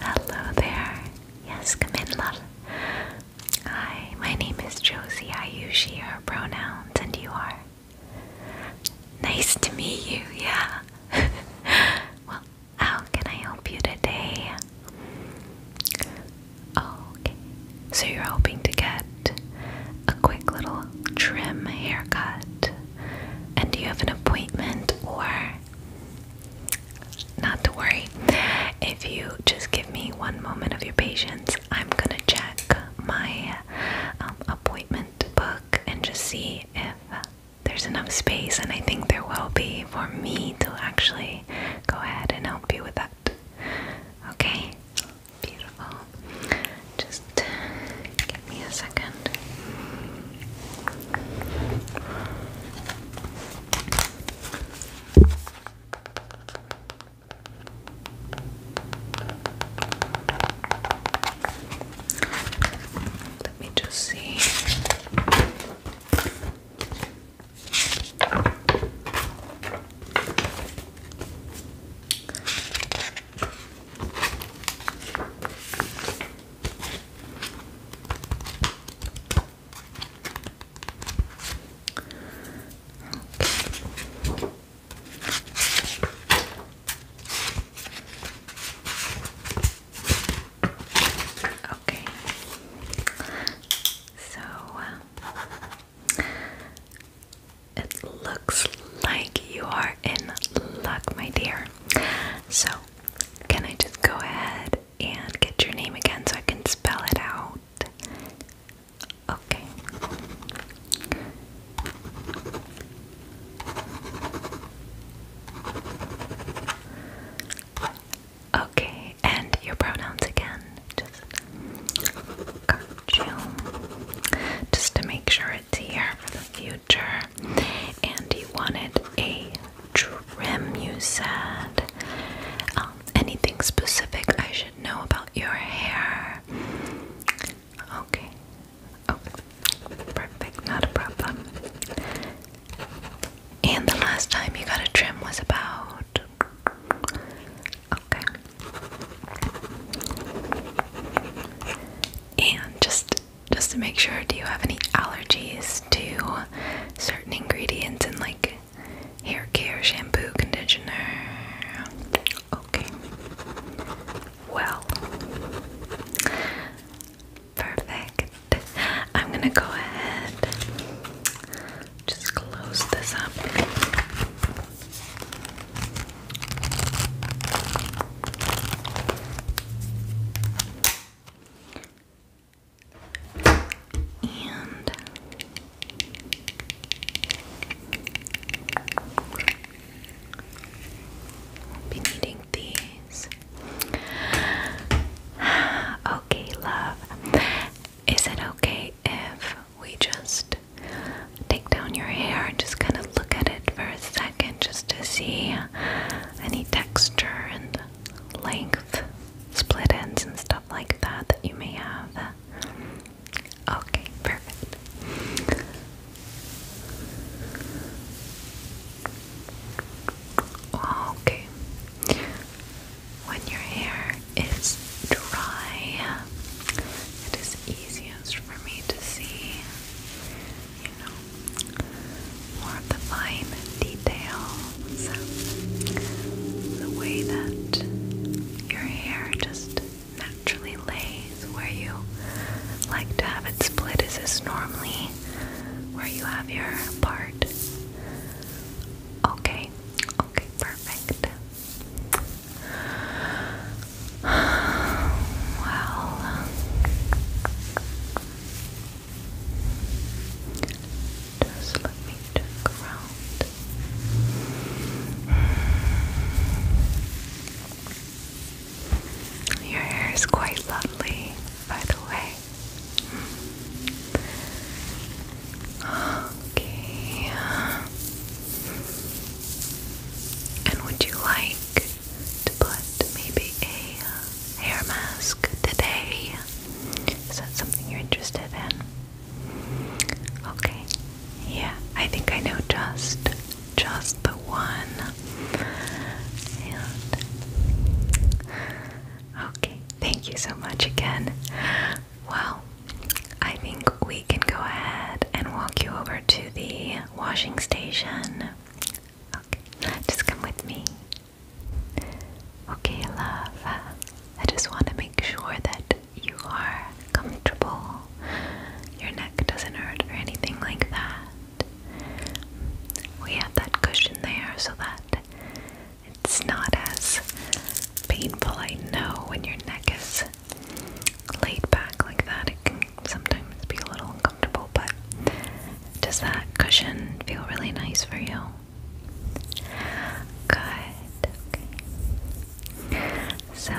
Hello there. Yes, come in, love. Hi, my name is Josie. I use she, her pronouns, and you are. Nice to meet you, yeah. well, how can I help you today? Okay, so you're hoping to get a quick little trim haircut. And do you have an appointment or not to worry? If you just give me one moment of your patience, I'm gonna check my um, appointment book and just see if there's enough space, and I think there will be for me to actually go ahead and help you with that. Okay? Beautiful. Just give me a second. Let me just see. Okay, so uh, it looks like you are in luck, my dear. So, can I just go ahead and get your name again so I can spell it out? Okay. Okay, and your pronouns again. Just just to make sure it's here for the future. And you wanted a trim, you said. Um, anything specific I should know about your hair? Okay. Oh, perfect. Not a problem. And the last time you got a trim was about Okay. And just just to make sure, do you have any allergies to certain ingredients in like hair care, shampoo, conditioner? Okay. Well. Perfect. I'm going to go ahead just close this up. And be needing these. Okay, love. Is it okay if we just take down your hair and just kind of look at it for a second just to see any texture and length, split ends, and stuff like that that you may have. Okay, perfect. Okay. When your hair it's dry, it is easiest for me to see, you know, more of the fine details, the way that your hair just naturally lays where you like to have it split is this normally where you have your part okay okay perfect well, just let me check around. Your hair is quite lovely, by the way. Okay. And would you like to put maybe a uh, hair mask today? Is that something you're interested in? Okay. Yeah, I think I know just just the one. okay, thank you so much again. Well, I think we can go ahead and walk you over to the washing station. Okay, just come with me. Okay, love. I just want to make sure that you are comfortable. Your neck doesn't hurt or anything like that. We have that cushion there so that it's not as painful. I know when your neck is laid back like that, it can sometimes be a little uncomfortable, but does that cushion feel really nice for you? Good. Okay. So,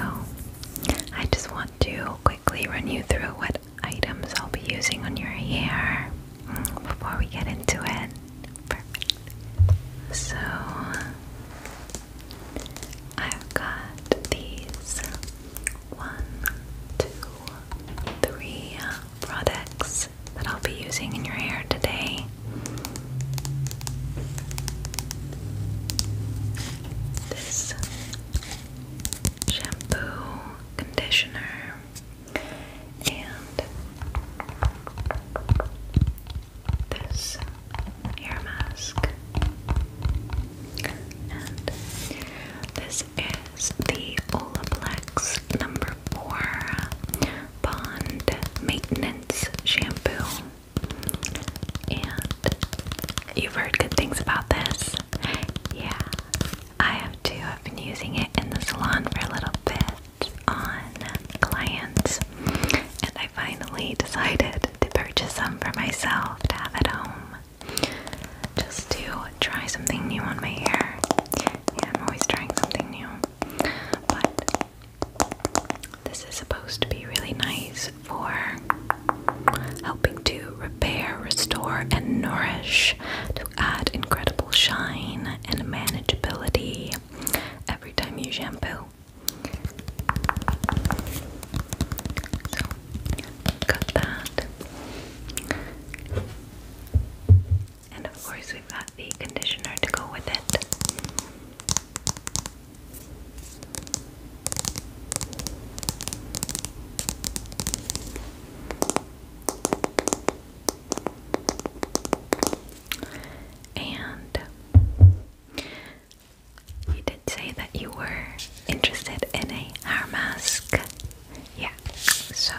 I just want to quickly run you through what items I'll be using on your hair mm, before we get into it. Perfect. So, I've got these one, two, three products that I'll be using in your hair today. This shampoo, conditioner, and this ear mask. this is the Olaplex number four bond maintenance shampoo. And you've heard good things about this. Yeah. I have too. I've been using it in the salon for a little bit on clients, and I. I finally decided to purchase some for myself to have at home just to try something new on my hair. Yeah, I'm always trying something new. But this is supposed to be really nice for helping to repair, restore, and nourish to add incredible shine and manageability every time you shampoo got that. And of course, we've got the conditioner to go with it. And you did say that you were interested in a hair mask. Yeah, so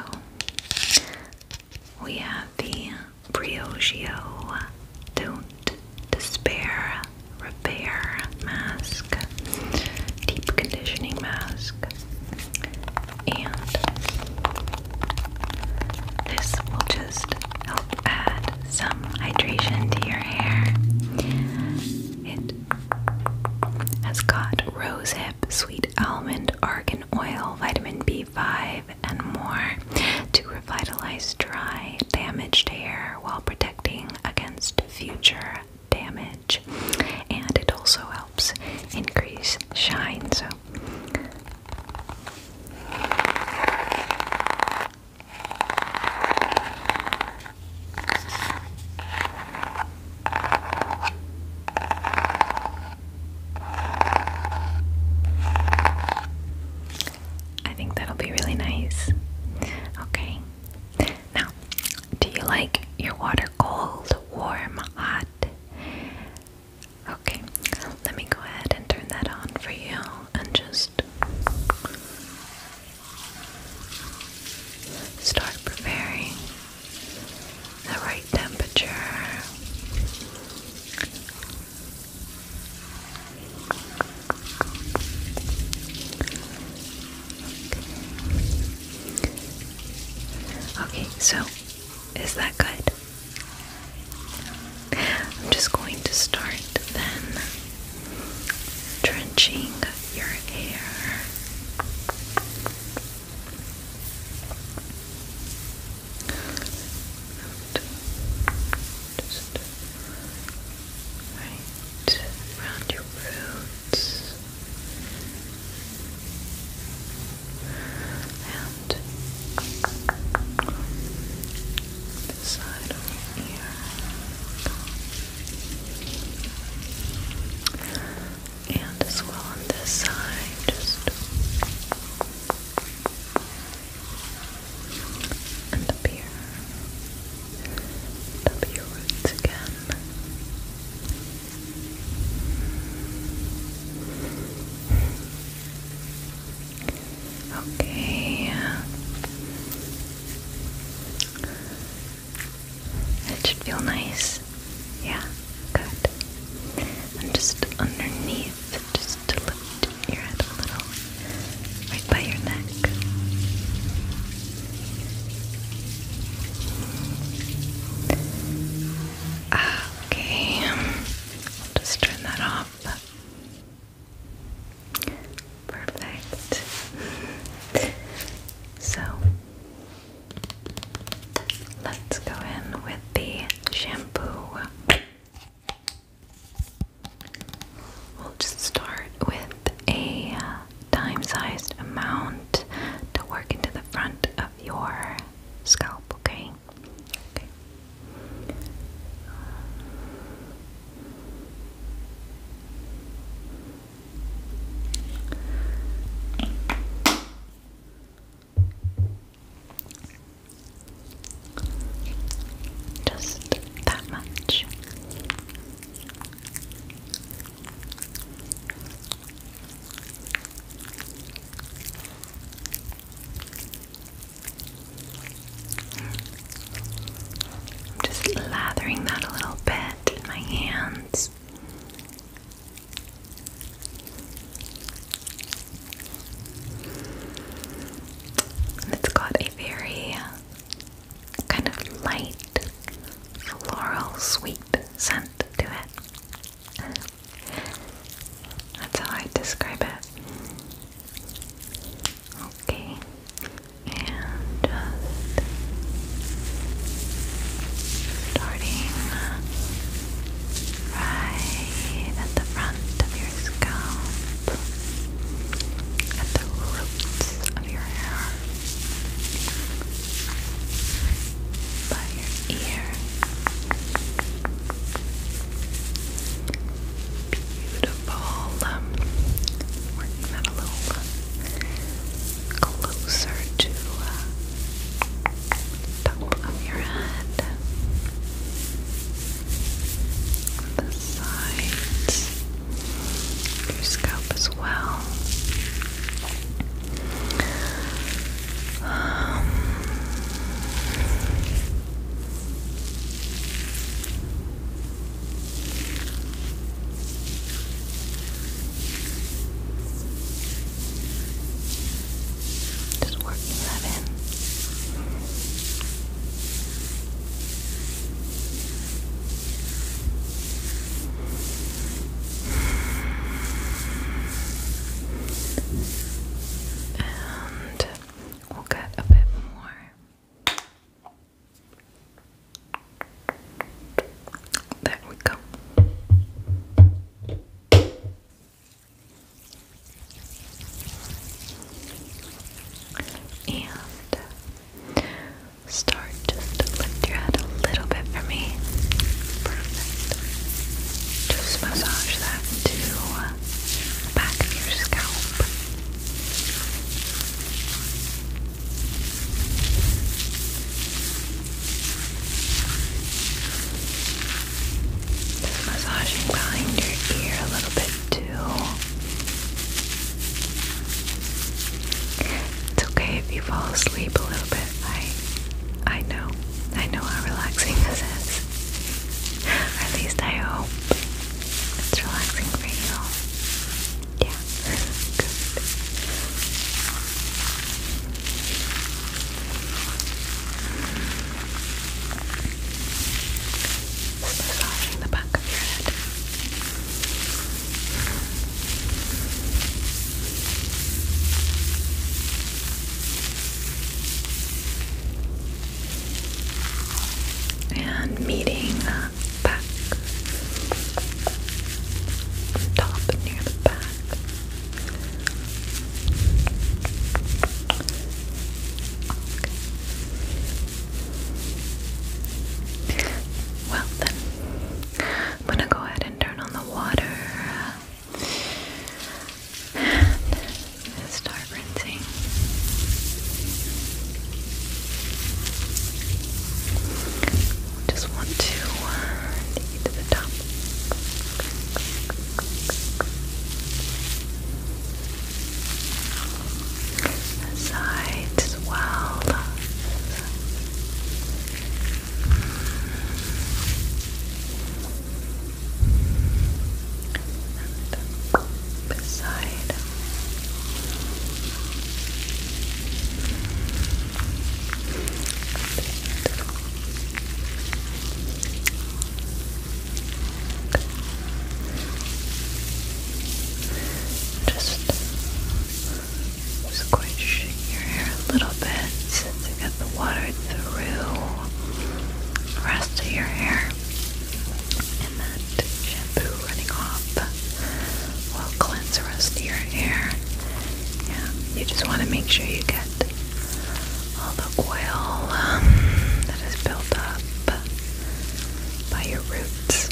we have the Briogeo Don't Despair Repair Mask, Deep Conditioning Mask, and this will just help add some hydration to your hair. It has got rosehip, sweet almond, argan oil, vitamin B5, and more to revitalize dry, damaged hair while protecting against future damage. And it also helps increase shine. So I think that'll be really nice. Okay. Now, do you like your water cold, warm, hot? Okay, let me go ahead and turn that on for you and just start preparing the right temperature. Okay, so is that good? I'm just going to start then drenching your hair. right around your roots and side over here. And as well on this side, just and up here. And your roots again. Okay. It should feel nice. Yeah, good. And just underneath, just to lift your head a little, right by your neck. Okay, just turn that off. Perfect. So let's go in with the shampoo. We'll just start with a uh, dime sized amount to work into the front of your scalp, okay? Okay. Just that much. I'm just lathering that a little bit in my hands. it's got a very kind of light floral sweet scent to it. That's how I describe it. Okay, and just starting right at the front of your scalp, at the roots of your hair, by your ear. Beautiful. Um, working that a little uh, closer to uh, top of your head. The sides, your scalp as well. Um, just working that in. And we'll get a bit more. There we go. And start just lift your head a little bit for me. Just massage that to the back of your scalp massaging behind your ear a little bit too. It's okay if you fall asleep a little bit. I I know. I know how relaxing this is. at least I hope. It's relaxing for you. Yeah. Good. Just massaging the back of your head and meeting back, top near the back. Well then, I'm gonna go ahead and turn on the water start rinsing. Just want to uh, take the top. The sides as well beside. Just squish your hair a little bit since you got the water through the rest of your hair that shampoo running off will cleanse the rest of your hair. Yeah, you just want to make sure you get all the oil um, that is built up by your roots.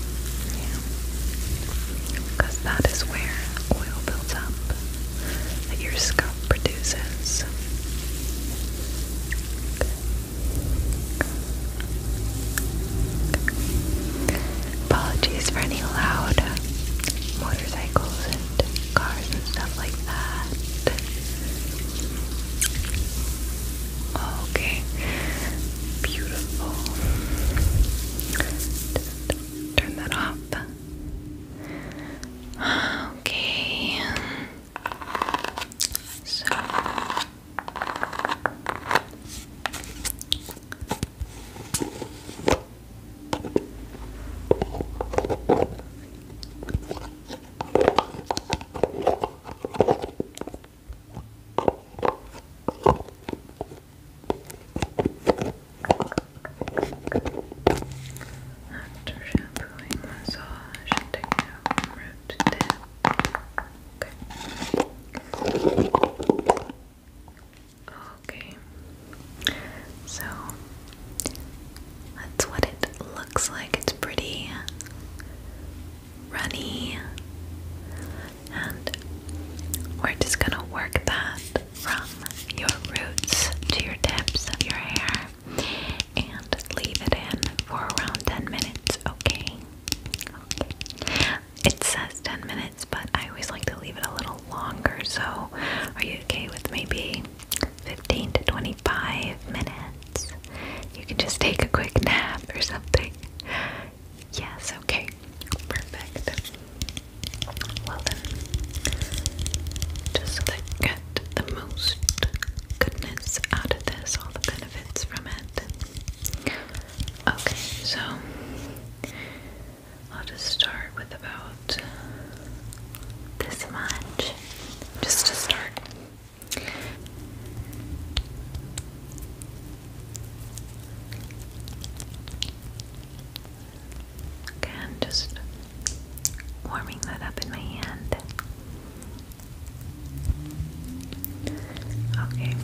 because that is where oil builds up that your scalp produces. Apologies for any loud motorcycles and cars and stuff like that. Okay, beautiful. turn that off. Okay. So after shampooing, massage, and taking out root to Okay. Okay. So that's what it looks like. It's pretty runny. And we're just gonna work that from your roots to your tips of your hair and leave it in for around 10 minutes, okay? It says 10 minutes, but I always like to leave it a little longer, so are you okay with maybe 15 to 25 minutes? You can just take a quick nap or something. Yes, okay. Perfect. Well then, just to get the most goodness out of this, all the Okay, so I'll just start with about this much, just to start. Again, just warming that up in my hand. Okay.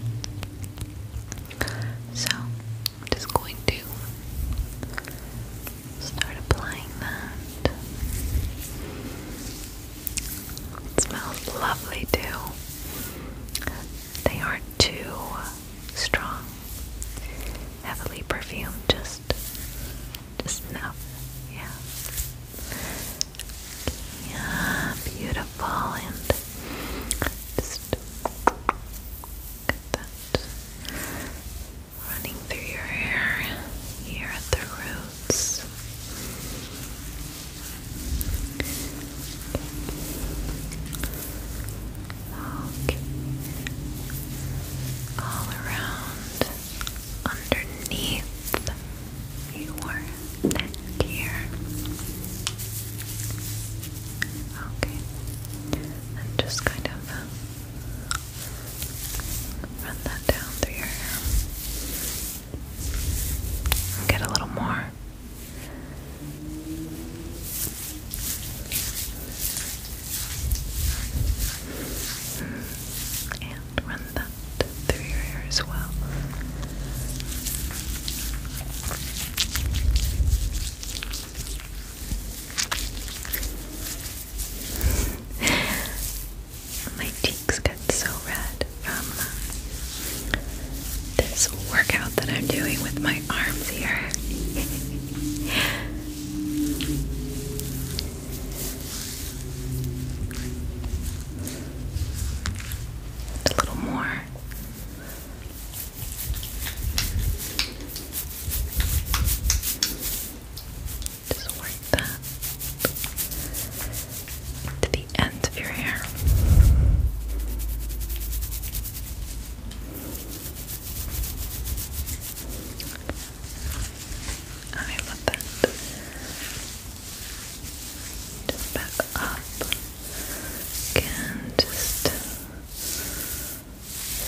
So, just going to start applying that. It smells lovely too. They aren't too strong, heavily perfumed, just just now, Yeah. Yeah, beautiful. And just get that running through your hair here at the roots. Okay. All around underneath your neck here. Okay, and just kind of uh, run that down through your hair. Get a little more. And and run that through your hair as well. My cheeks get so red from this workout that I'm doing with my arms here. A little more. Just work that the end of your hair. I love that. Just back up. Again, just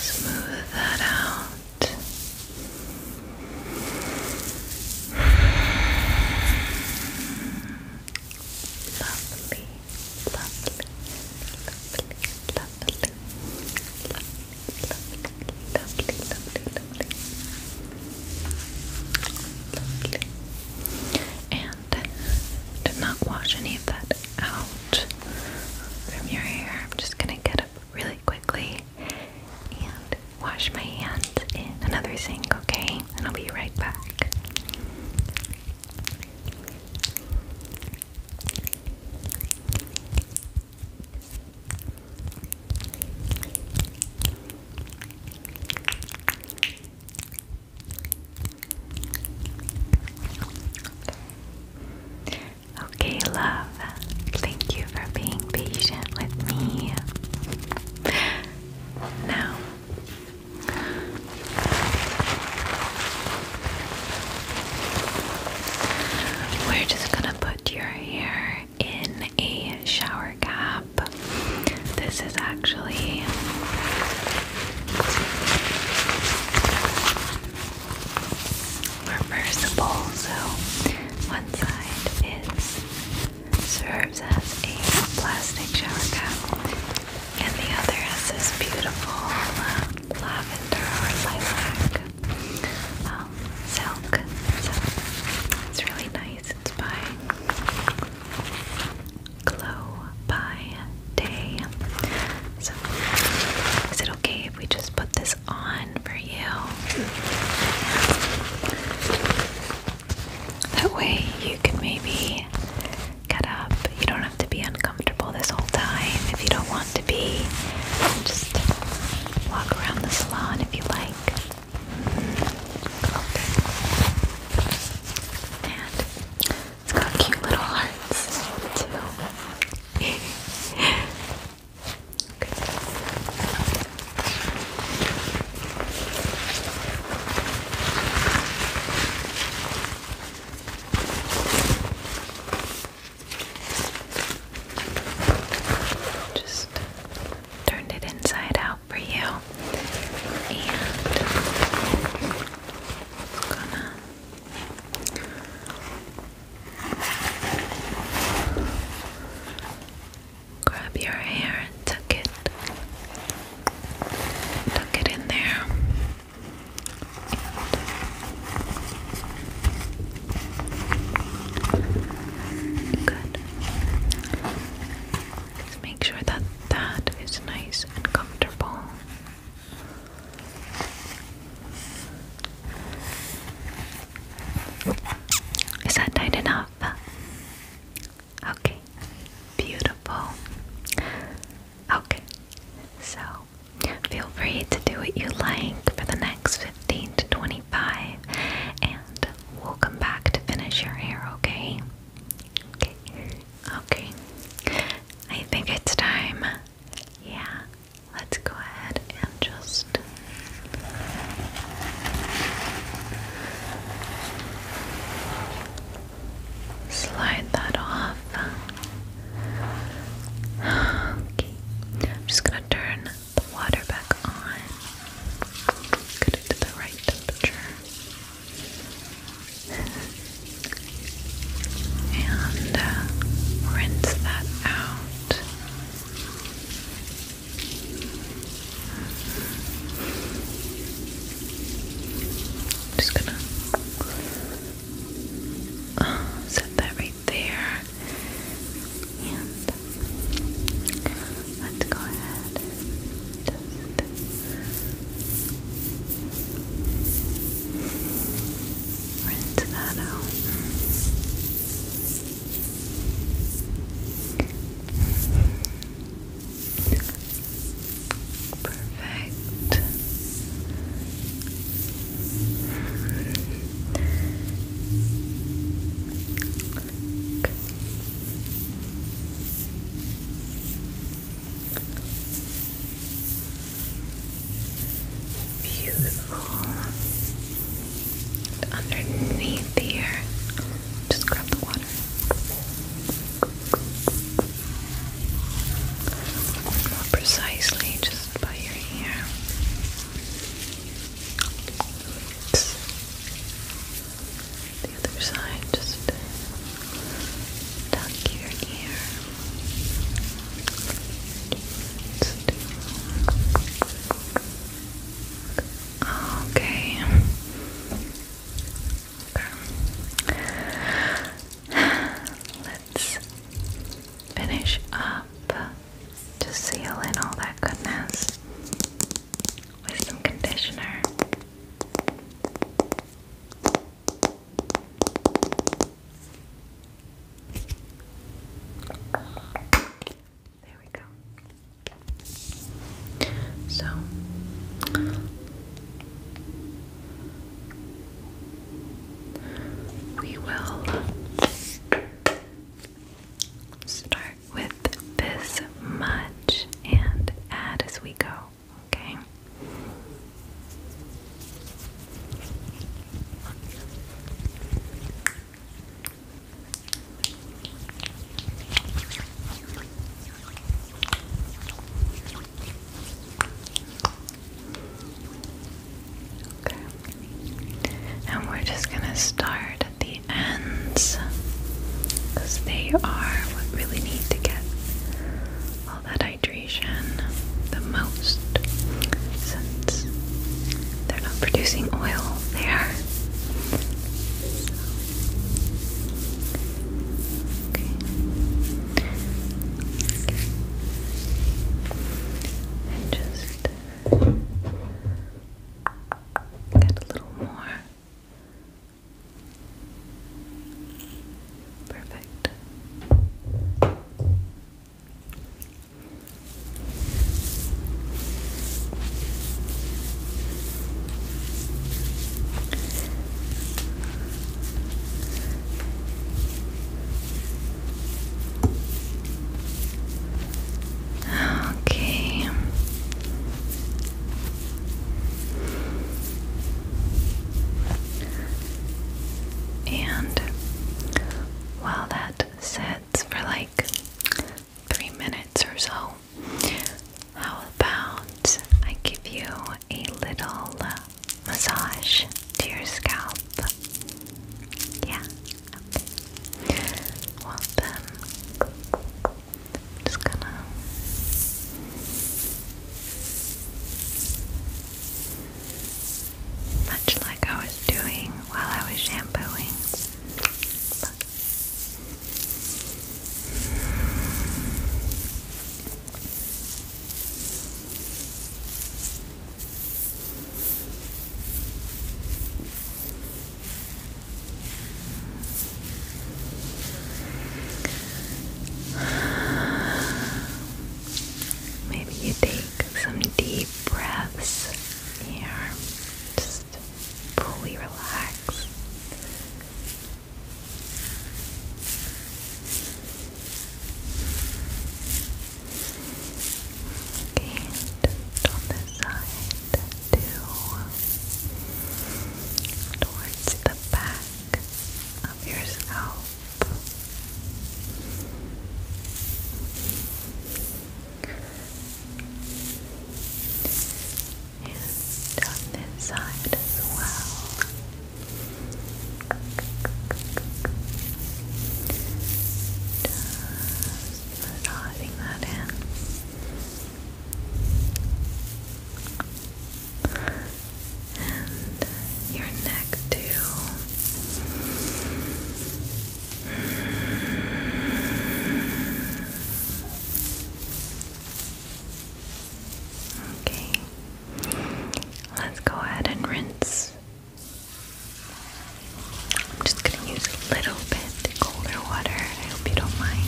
smooth that out. lovely, lovely, lovely, lovely, lovely, lovely, lovely, lovely. Lovely. And do not wash any of that out from your hair. I'm just gonna get up really quickly and wash my hands in another sink, okay? And I'll be right back. Okay, love, thank you for being patient with me. Now, we're just gonna put your hair in a shower cap. This is actually reversible, so one side is serves as a plastic shower cap, and the other has this beautiful uh, lavender or lilac um, silk. So it's really nice. It's by Glow by Day. So, is it okay if we just put this on for you? That way you can maybe get up. You don't have to be uncomfortable this whole time if you don't want to be. Just walk around the salon if you like. And it's got cute little hearts too. Just turned it inside out for you. And gonna grab your hair and tuck it. Tuck it in there. Good. Just make sure that that is nice and comfortable. Is that tight enough? Okay, beautiful. Okay, so feel free to do what you like for the next 15 to 25, and good. We'll come back to finish your hair, okay? Okay. Okay. I think it's time. Yeah. Let's go ahead and just slide that off. Okay. I'm just gonna turn the water back on. Get it to the right temperature. And uh, rinse that out. just gonna uh, set that right there. And let's go ahead and that out. Perfect. Beautiful. underneath here, just grab the water. More precisely, just by your ear. The other side, just tuck your ear. okay. Let's finish up to seal in all that goodness with some conditioner. There we go. So we will start with this much and add as we go, okay? Okay. And we're just going to start the and because they are what really need to get all that hydration the most since they're not producing oil there. So. Okay. okay. just Get a little more. Perfect. Okay. And while that sets for like three minutes or so, how about I give you a little massage to your scalp? Yeah, well then, I'm just gonna much like I was doing while I was shampooing. Maybe you take some deep breaths here, just fully relax. and on this side do towards the back of your scalp. And on this side as well just diving that in. And your neck, too. Okay, let's go ahead and rinse I'm just gonna use a little bit of colder water. I hope you don't mind.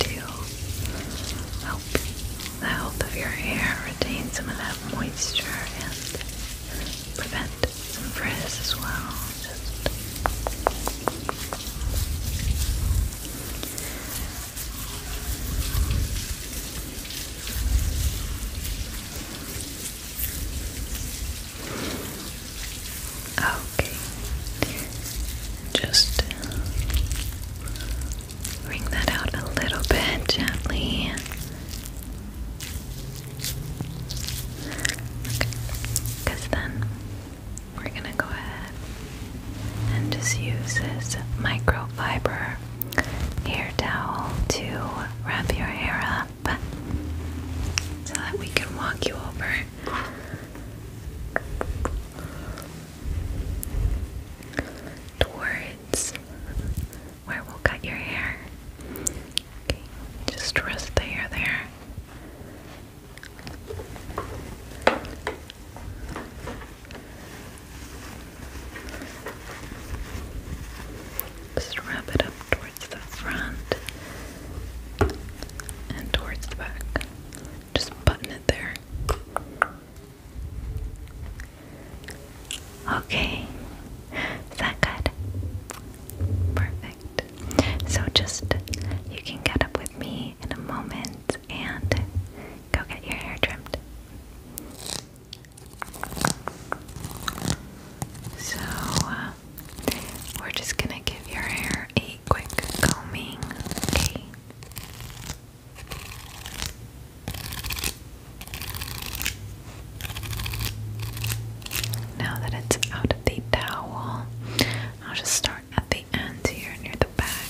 to help the health of your hair retain some of that moisture and prevent some frizz as well. Okay. Just bring uh, that out a little bit gently. Because then we're going to go ahead and just use this microfiber hair towel to wrap your hair up so that we can walk you over. Towards where we'll cut your hair. just rest the hair there. Just wrap it up towards the front and towards the back. Just button it there. Okay. Is that good? Perfect. So just you can get up with me in a moment and go get your hair trimmed. So, uh, we're just gonna give your hair a quick combing. Okay. Now that it's out of the towel, I'll just start at the end here near the back.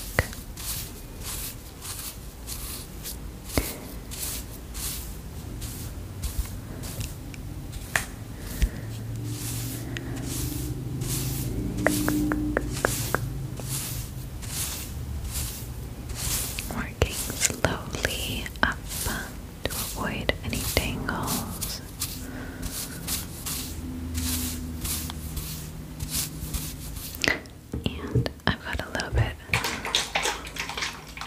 Working slowly up to avoid any tangles. And I've got a little bit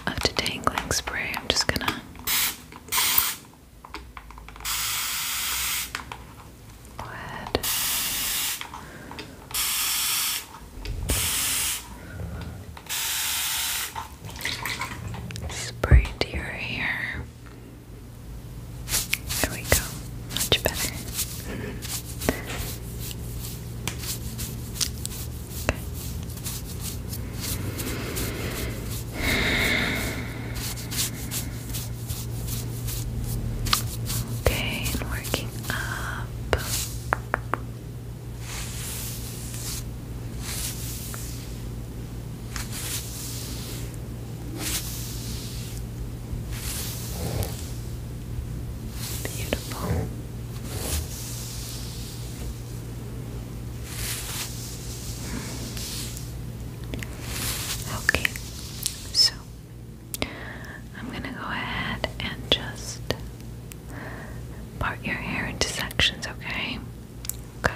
of detangling spray. I'm just gonna Good. Spray to your hair. There we go. Much better. Okay, and working up. Beautiful. Okay, so I'm gonna go ahead and just part your hair into sections, okay? Okay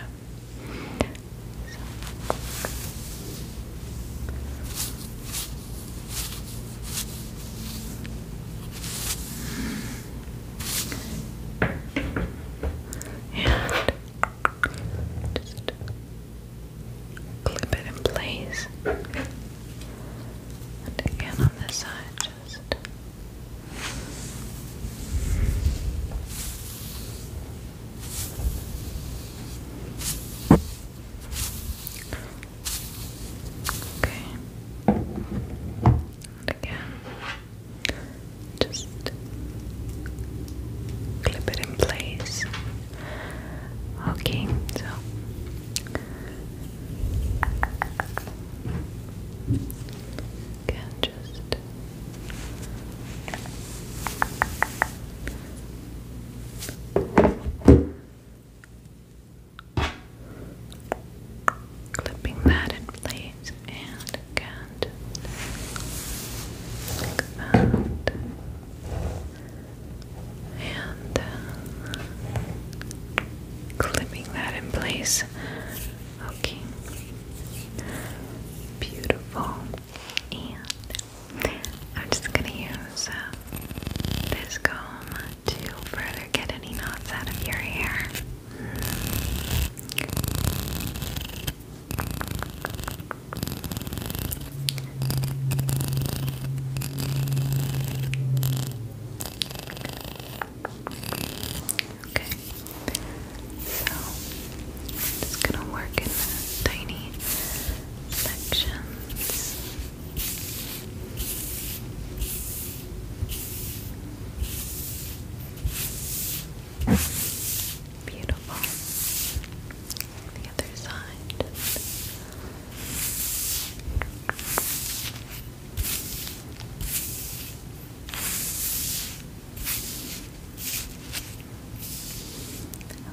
and just clip it in place. And again on this side, just Okay. again. Just clip it in place. Okay, so can just Okay clipping that in place and again and uh, clipping that in place okay beautiful and I'm just gonna use uh, this to further get any knots out of your hair Okay, so i gonna work in tiny sections. Beautiful. The other side.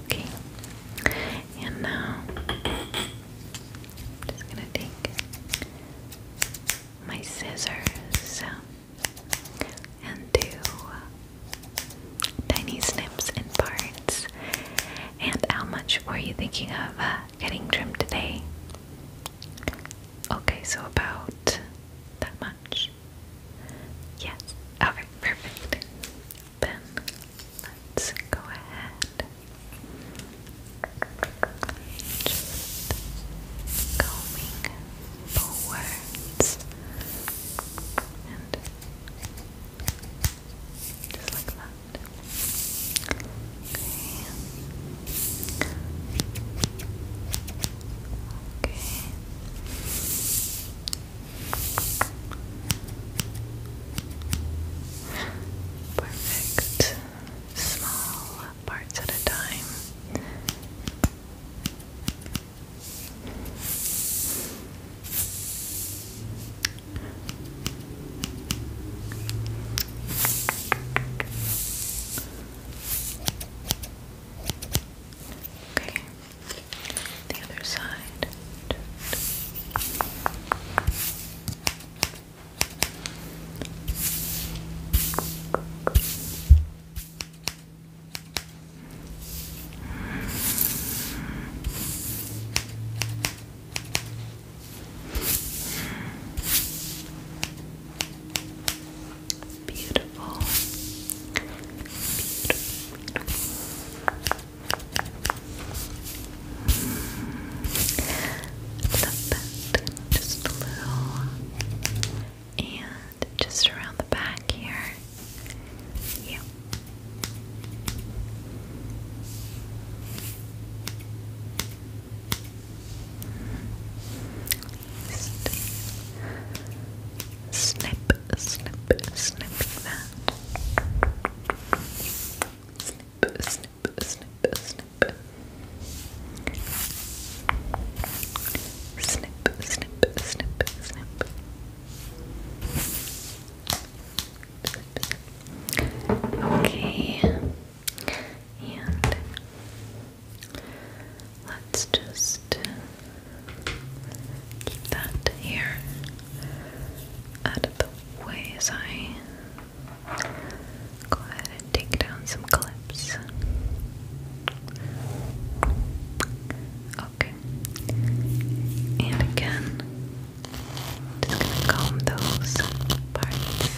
Okay. And now I'm just going to take my scissors and do tiny snips and parts. And how much were you thinking of uh, getting trimmed today? Okay, so about that much. Yes. Okay, perfect. Then let's go ahead. Just combing simple words and just like that. Okay. Perfect. Small parts at a time. Okay, the other side. Okay. Beautiful. Beautiful. Just a little and just around the back here. Yeah. snip, snip, snip that. Snip, snip, snip, snip. Snip, snip, snip, snip. Okay. And let's just keep that here out of the way as I Go ahead and take down some clips. Okay. And again, just gonna comb those parts.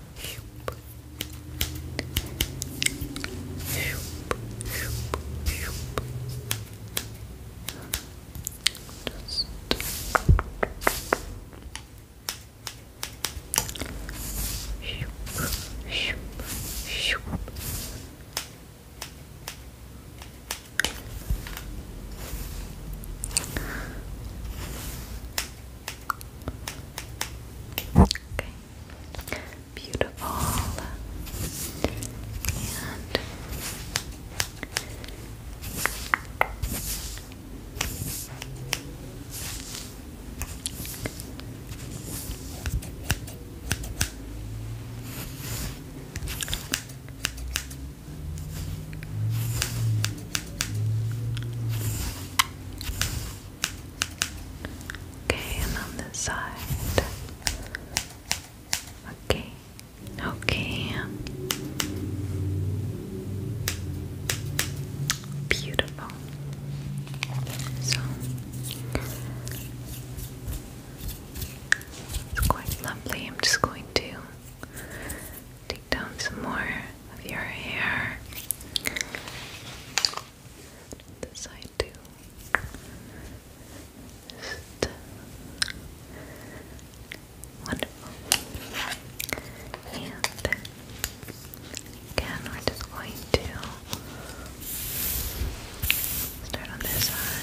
shoop. Shoop, shoop, shoop. Just shoop, shoop, shoop. Shoop, Okay. Beautiful. And Okay, and on this side. Okay, okay. Beautiful. So it's quite lovely. I'm just going to Take down some more of your hair. This side too. wonderful. And again, we're just going to start on this side.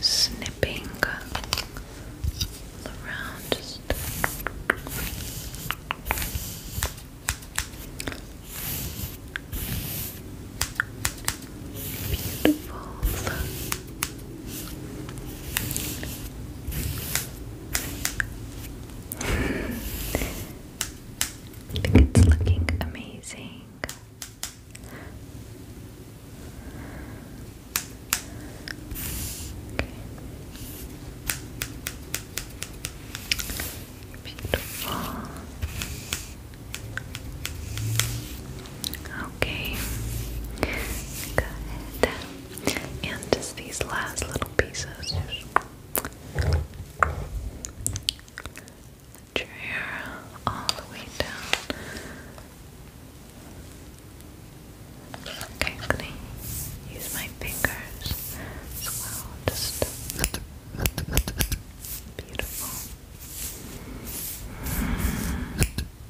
Snipping around, beautiful. I think it's looking amazing. Beautiful. Okay. Good and just these last little pieces. Let your hair all the way down. Okay, use my fingers as Just beautiful.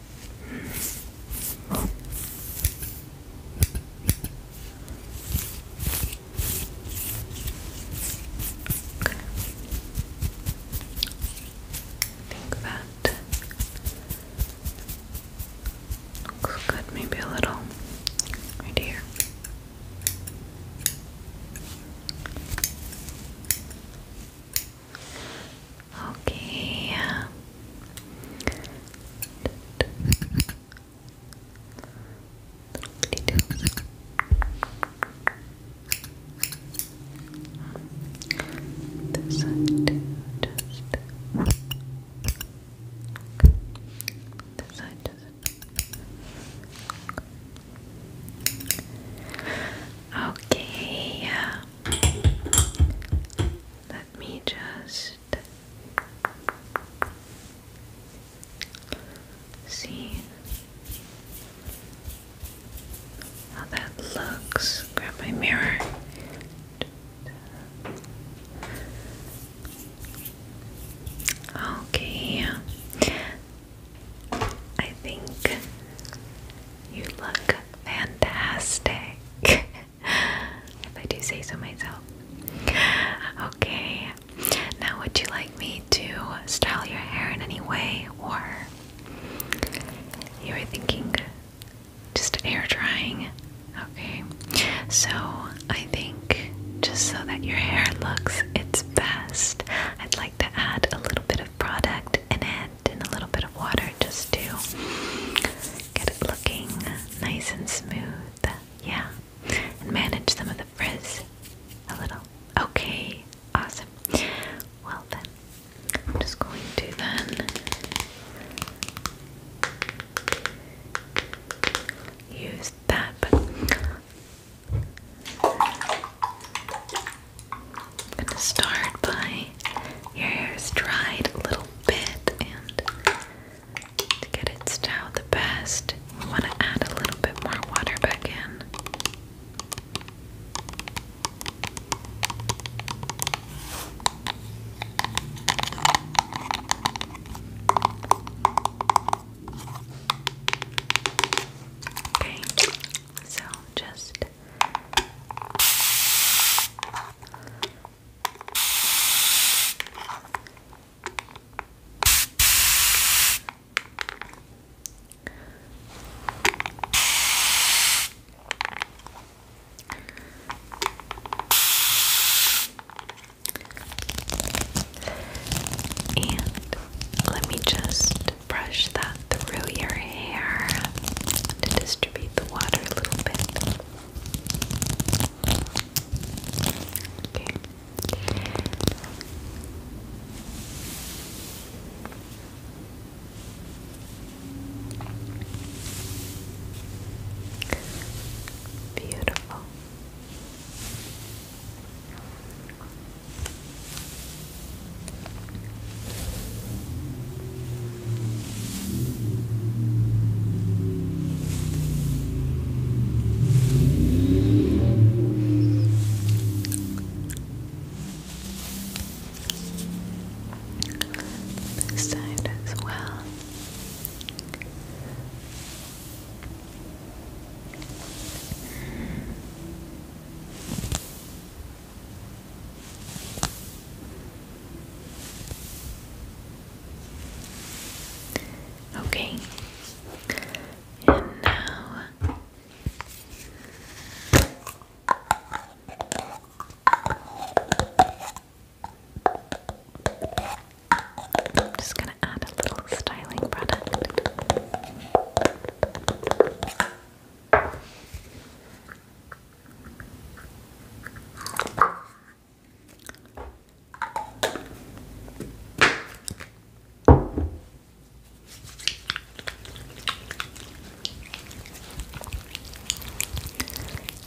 think that looks good, maybe a little right here. Okay details. This Okay, yeah. Uh, let me just see how that looks. Grab my mirror. Okay, I think you look fantastic. if I do say so myself. Okay, now would you like me to style your hair in any way, or you were thinking just air drying? Okay, so I think just so that your hair looks its best, I'd like to add a little bit of product and add and a little bit of water just to get it looking nice and smooth. Yeah. And manage some of the frizz a little. Okay, awesome. Well, then, I'm just going to then use that, I'm going to start by your hair is dried a little bit, and to get it styled the best, we want to add a little bit more water back in. Okay, so just and let me just brush that through your hair to distribute the water a little bit. Okay. Beautiful. This side as well. Okay. Okay, and now I'm just going to add a little styling product.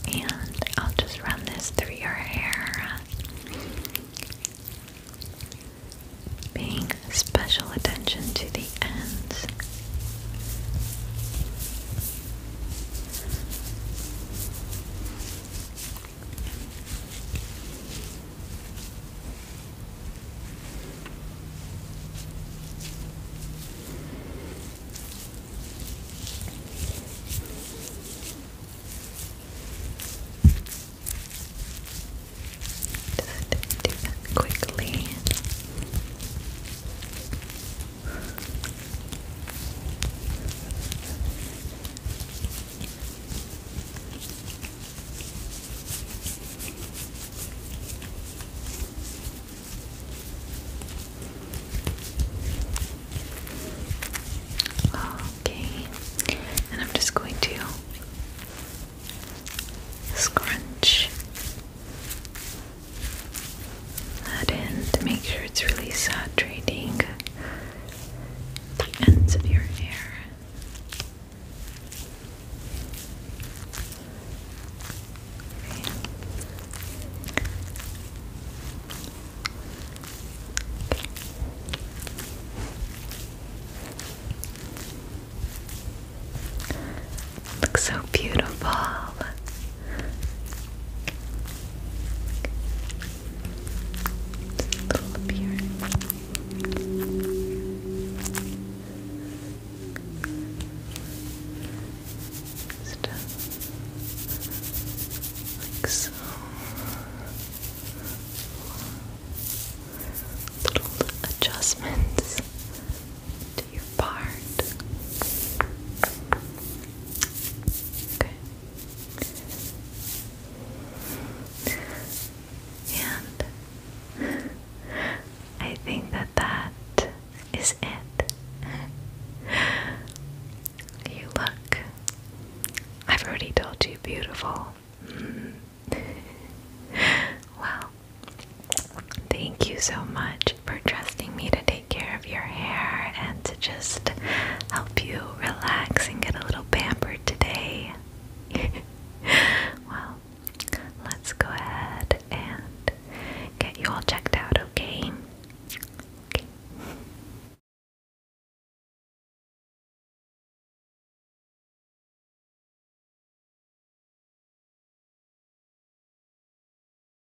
And I'll just run this through your hair. Paying special attention to the ends. Just do that quickly. Okay, and I'm just going to scrunch Add in to make sure it's really saturating the ends of your hair. Looks so beautiful little up Just Little adjustments your part. Okay. And I think that that is it. You look, I've already told you, beautiful. Mm-hmm. well, thank you so much for trusting me today care of your hair and to just help you relax and get a little pampered today. well, let's go ahead and get you all checked out, Okay.